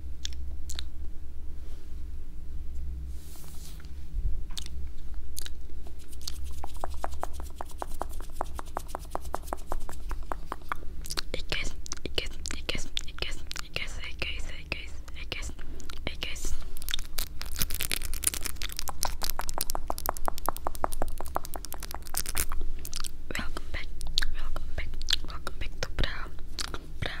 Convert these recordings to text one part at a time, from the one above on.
Ik guess, ik guess, ik guess, ik guess ik guess ik guess ik guess ik guess ik Welkom back, welkom back, welkom back to Bra, Bra,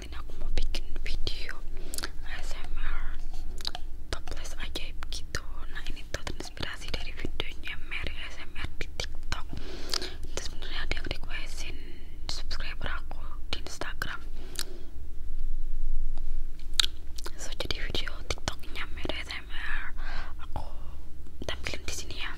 kali aku mau bikin video ASMR toples ajaib gitu nah ini tuh terinspirasi dari videonya Mary ASMR di tiktok itu sebenarnya ada yang requestin subscriber aku di instagram so jadi video tiktoknya Mary ASMR aku tampilin di sini ya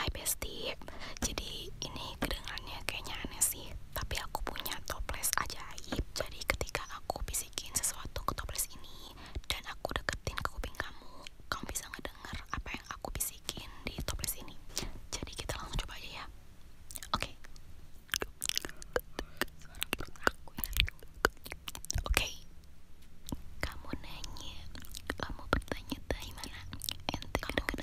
Hai bestie jadi ini kedengarannya kayaknya aneh sih tapi aku punya toples ajaib jadi ketika aku bisikin sesuatu ke toples ini dan aku deketin ke kuping kamu kamu bisa ngedenger apa yang aku bisikin di toples ini jadi kita langsung coba aja ya oke oke kamu nanya kamu bertanya dari mana ente kamu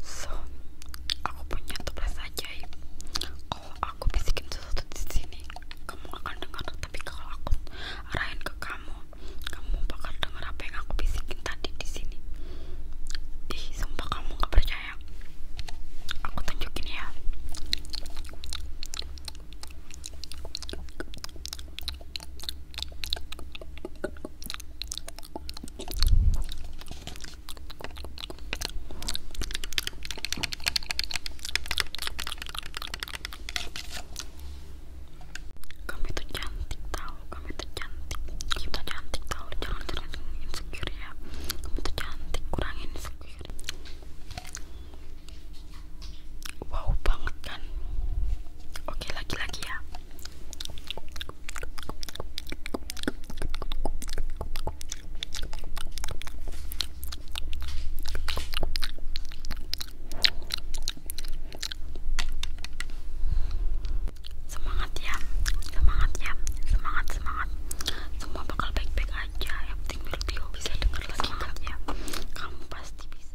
So, aku punya toples ajaib. Ya. Kalau aku bisikin sesuatu di sini, kamu akan dengar. Tapi kalau aku arahin ke kamu, kamu bakal dengar apa yang aku bisikin tadi di sini. Ih, sumpah kamu gak percaya? Aku tunjukin ya kami itu cantik tahu, kamu itu cantik. Kita cantik tahu, jangan jangan insecure ya. Kamu itu cantik, kurangin insecure wow banget kan oke lagi-lagi ya Semangat ya, semangat ya, semangat semangat. Semua bakal baik-baik aja. Yang penting Mirtio bisa dengar lagi semangat ya. Kamu pasti bisa.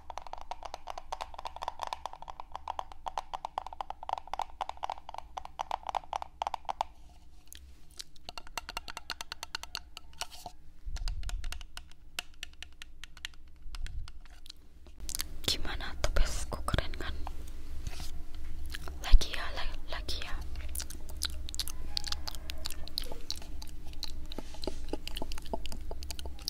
Gimana tuh besku keren kan? Lagi ya, lagi ya.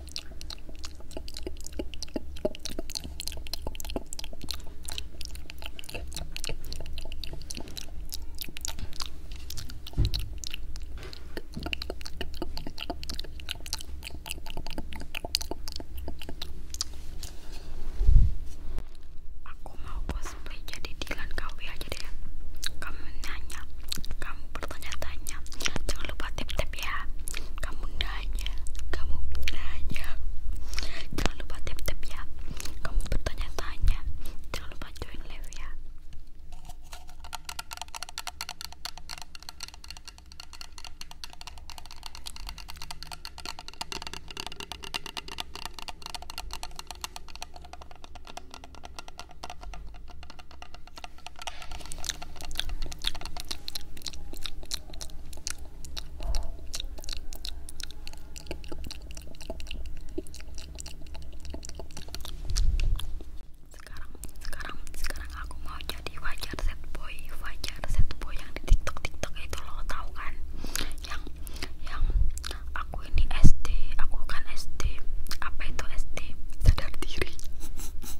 Aku mau cosplay jadi Dylan KW aja deh. Kamu nanya, kamu bertanya-tanya jangan lupa tip-tip ya kamu nanya kamu nanya jangan lupa tip-tip ya kamu bertanya-tanya jangan lupa join live ya sekarang sekarang sekarang aku mau jadi wajar set boy wajar set boy yang di tiktok tiktok itu lo tau kan yang yang aku ini SD aku kan SD apa itu SD sadar diri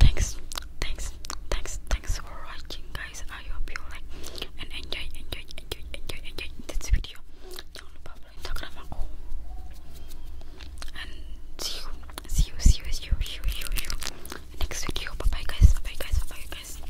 Thanks, thanks, thanks, thanks for watching, guys. I hope you like and enjoy, enjoy, enjoy, enjoy, enjoy this video. Jangan lupa follow Instagram aku. you, see you, you, see you, you, see you, you. next video. bye, guys. Bye, guys. Bye, guys.